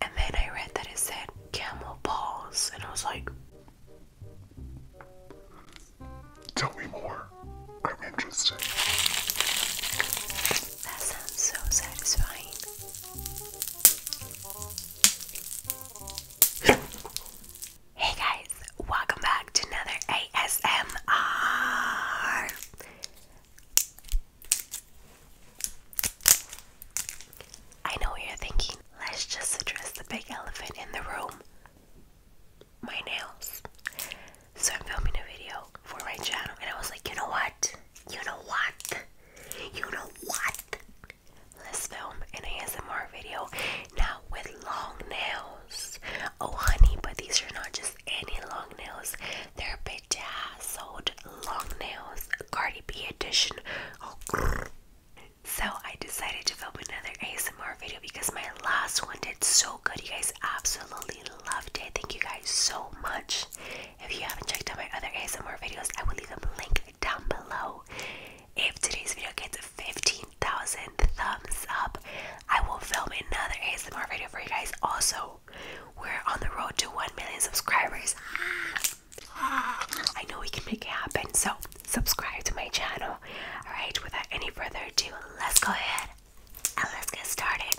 And then I read that it said camel balls, and I was like, Tell me more. I'm interested. That sounds so satisfying. hey guys, welcome back to another ASMR. I know you're thinking. Let's just address the big elephant in the room my nails. So I'm filming a video for my channel, and I was like, you know what? You know what? You know what? Let's film an ASMR video now with long nails. Oh, honey, but these are not just any long nails, they're big my long nails, Cardi B edition. So I decided to film another ASMR video because my last one did so good. You guys absolutely loved it. Thank you guys so much. If you haven't checked out my other ASMR videos, I will leave them link down below. If today's video gets 15,000 thumbs up, I will film another ASMR video for you guys also. We're on the road to 1 million subscribers. Ah. I know we can make it happen, so subscribe to my channel. Alright, without any further ado, let's go ahead and let's get started.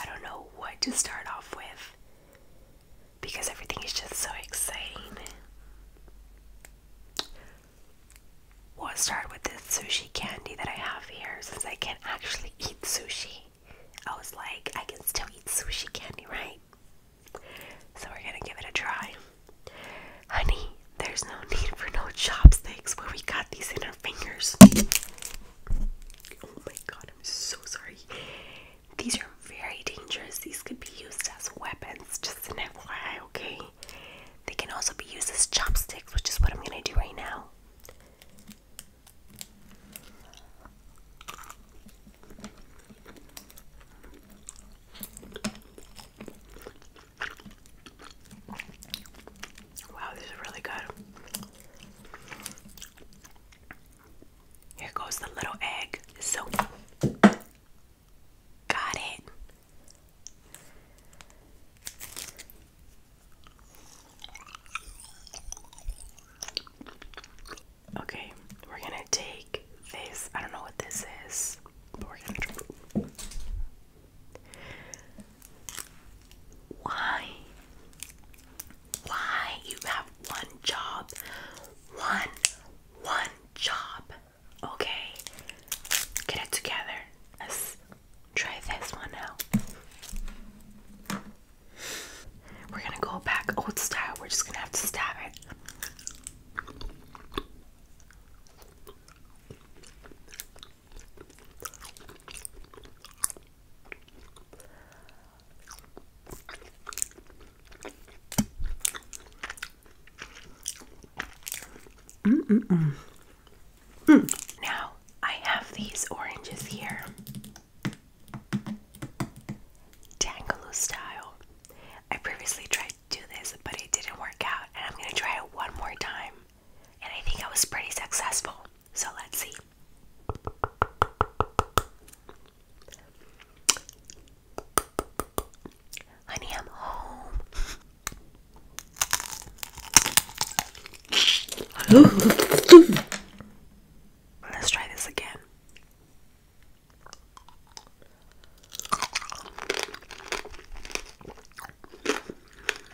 I don't know what to start off with because everything is just so exciting. We'll start with this sushi candy that I have here since I can't actually eat sushi. I was like, I can still eat sushi candy, right? So we're gonna give it a try. Honey, there's no need for no chopsticks where we got these in our fingers. Oh my god, I'm so sorry. These are very dangerous. These could be used as weapons, just an FYI, okay? They can also be used as chopsticks, which is what I'm gonna do right now. Wow, this is really good. Here goes the little egg. So, got it. Okay, we're gonna take this. I don't know what this is, but we're gonna try. Why? Why? You have one job. One, one job. Okay? Get it together. let Try this one now. We're gonna go back old style. We're just gonna have to stab it. Mm -mm -mm. Now I have these oranges here, Tangaloo style. I previously tried to do this, but it didn't work out, and I'm gonna try it one more time. And I think I was pretty successful, so let's see. Honey, I'm home. Let's try this again.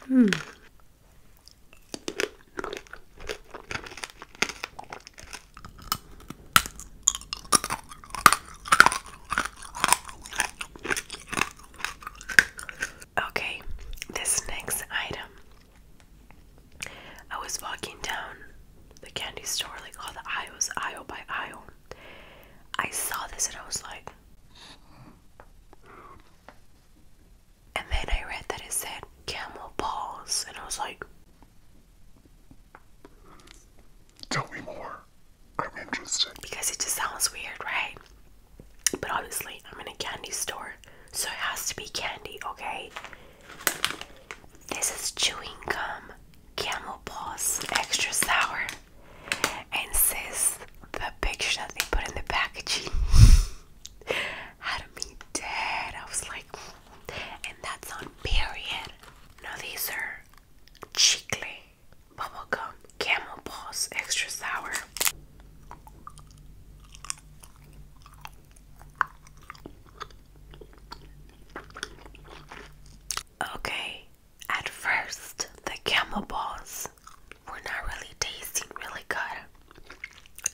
Hmm. Okay, this next item. I was walking down the candy store, like all the aisles, aisle by aisle. I saw this and I was like, and then I read that it said camel balls, and I was like, Tell me more. I'm interested. Because it just sounds weird, right? But obviously, I'm in a candy store, so it has to be candy, okay? This is chewing gum, camel paws, extra sour, and says the picture that they put in the packaging had me dead. I was like, and that's on period. Now, these are cheekly bubble gum, Camel Balls Extra Sour. Okay, at first the camel balls were not really tasting really good.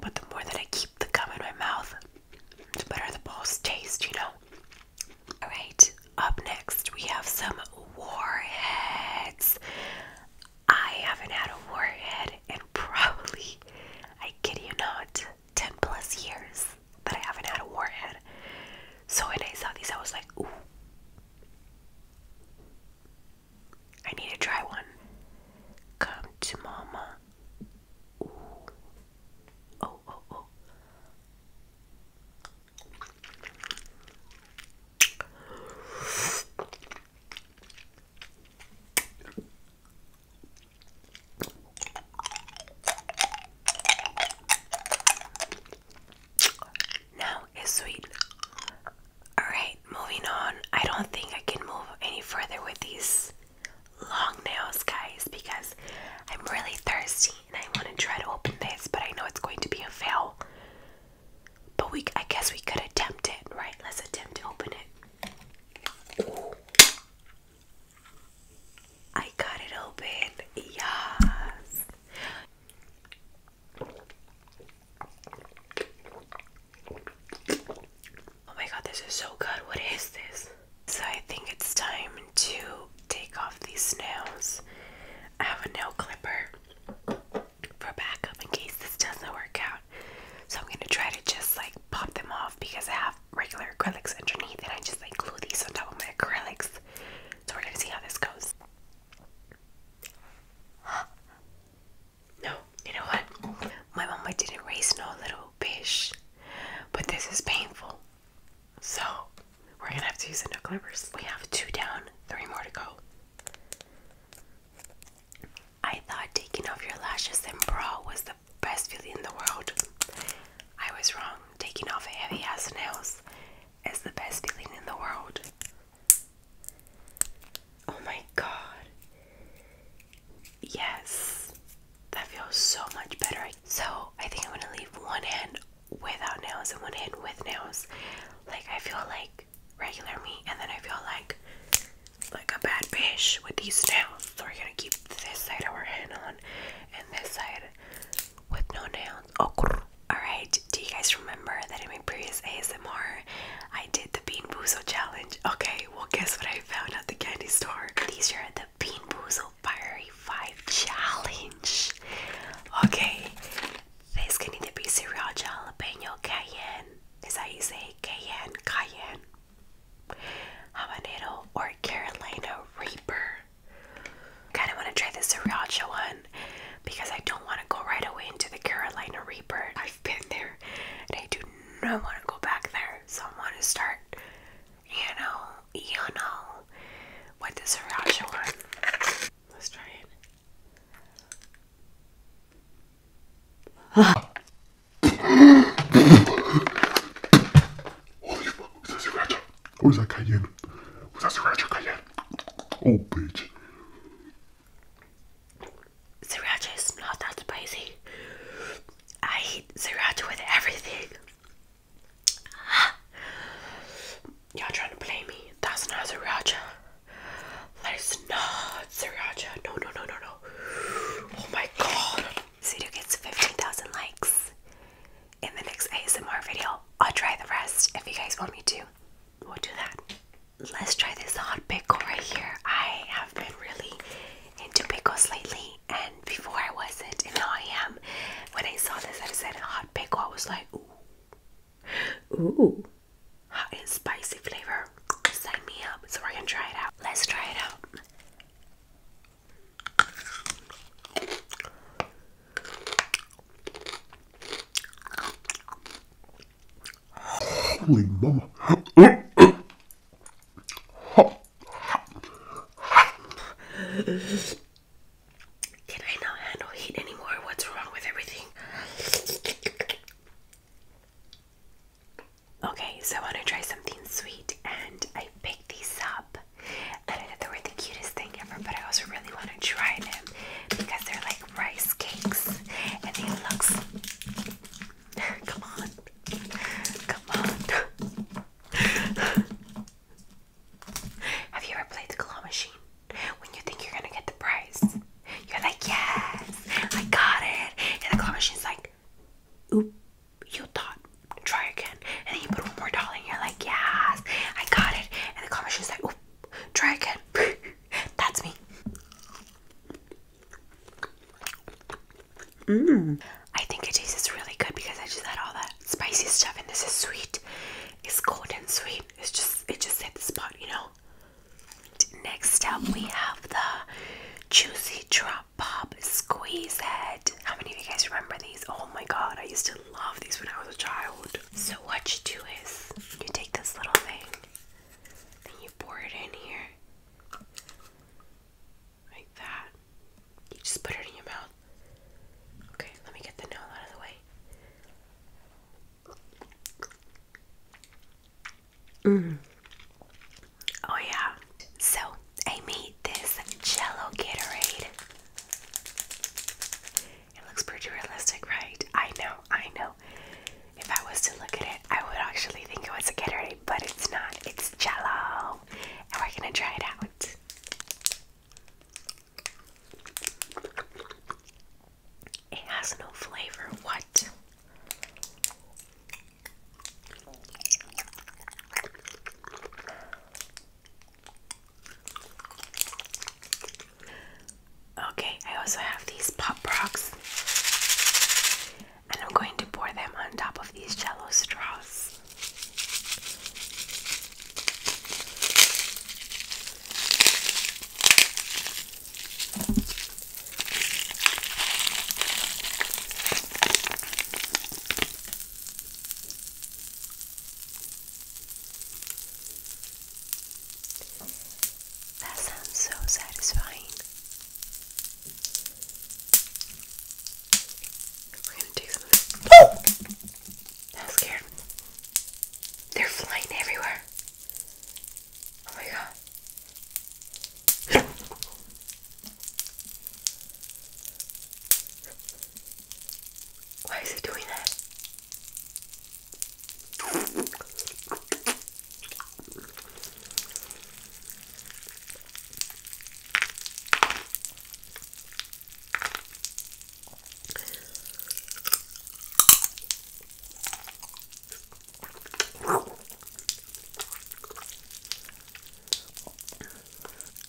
But the more that I keep the gum in my mouth, the better the balls taste, you know? Alright, up next, we have some warheads. I haven't had a warhead in probably, I kid you not, 10 plus years that I haven't had a warhead. So when I saw these, I was like, ooh, I need to try one. Come to mama. Oh, oh, oh. Now is sweet. Alright, moving on. I don't think I can move any further with these long nails, guys, because I'm really thirsty I want to try to open this, but I know it's going to be a fail. But we, I guess we could attempt it, right? Let's attempt to open it. I got it open. Yes. Oh my god, this is so good. What is this? So I think it's time to take off these snails. I have a nail clipper for backup in case this doesn't work out. So I'm gonna try to just like pop them off because I have regular acrylics underneath and I just like glue these on top of my acrylics. So we're gonna see how this goes. No, you know what? My mama didn't raise no little fish, but this is painful. So we're gonna have to use the no clippers. We have two down, three more to go. I thought taking off your lashes and brow was the best feeling in the world. I was wrong. Taking off heavy ass nails is the best feeling in the world. Oh my god. Yes. That feels so much better. So I think I'm gonna leave one hand without nails and one hand with nails. Like I feel like regular me, and then I feel like like a bad bitch with these nails. So we're gonna keep this side of our hand on, and this side with no nails. Oh, alright. Do you guys remember that in my previous ASMR I did the Bean Boozle challenge? Okay, well guess what I found at the candy store. These are the Bean Boozle fiery 5 challenge. Okay, this can either be to be cereal jalapeno cayenne. Is that you say cayenne, cayenne, habanero, or Carolina Reaper? Kind of want to try the sriracha one because I don't want to go right away into the Carolina Reaper. I've been there and I do not want to go back there, so I want to start you know, you know, with the sriracha one. Let's try it. Holy fuck, was that sriracha? Or that cayenne? Was that sriracha cayenne? Oh, bitch. Sriracha is not that spicy. I eat sriracha with everything. Y'all trying to play me? That's not sriracha. That is not sriracha. No, no, no, no, no. Oh my god. Sudo gets 15,000 likes in the next ASMR video. I'll try the rest if you guys want me to. We'll do that. Let's try this hot pickle right here. I have been really into pickles lately and before I wasn't, and now I am. When I saw this, I said hot pickle. I was like, ooh, ooh, hot and spicy flavor. Sign me up so we're gonna try it out. Let's try it out. Holy mama. Can I not handle heat anymore? What's wrong with everything? Okay, so I want to try something sweet, and I picked these up, and I thought they were the cutest thing ever. But I also really want to try them because they're like rice cakes, and they looks. Come on, come on. Have you ever played the claw machine? When you think you're gonna get the prize, you're like, yes, I got it. And the claw machine's like, oop, you thought, try again. And then you put one more doll in, you're like, yes, I got it. And the claw machine's like, oop, try again. That's me. Mmm. I think it tastes really good because I just had all that spicy stuff and this is sweet. It's cold and sweet. It just it just hits the spot, you know. Next up we have the juicy drop pop squeeze head. How many of you guys remember these? Oh my god, I used to love these when I was a child. So what you do is you take this little thing and you pour it in here. Like that. You just put it in your mouth. Okay, let me get the nail out of the way. Mm. Oh, yeah. So, I made this Jello Gatorade. It looks pretty realistic, right? I know, I know. If I was to look at it, I would actually think it was a Gatorade, but it's not. It's Jello and we're gonna try it out. It has no flavor. What? Okay, I also have these pop rocks and I'm going to pour them on top of these jello straws. That sounds so satisfying. We're gonna take some of this. Oh! scared. They're flying everywhere. Oh my god. Why is it doing that?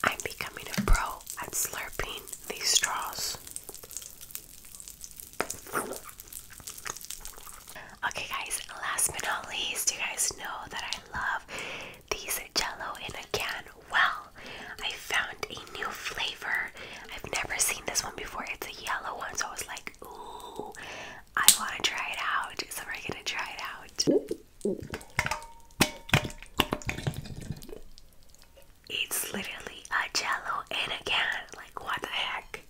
I'm becoming a pro at slurping these straws. Okay, guys, last but not least, you guys know that I love these jello in a can. Well, I found a new flavor. I've never seen this one before. It's a yellow one, so I was like, ooh, I want to try it out. So we're going to try it out. It's literally a jello in a can. Like, what the heck?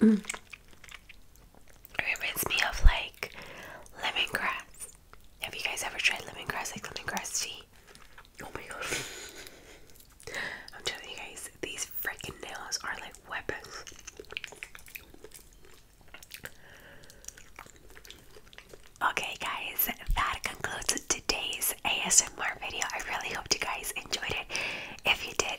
It reminds me of like lemongrass. Have you guys ever tried lemongrass, like lemongrass tea? Oh my god. I'm telling you guys, these freaking nails are like weapons. Okay, guys, that concludes today's ASMR video. I really hope you guys enjoyed it. If you did,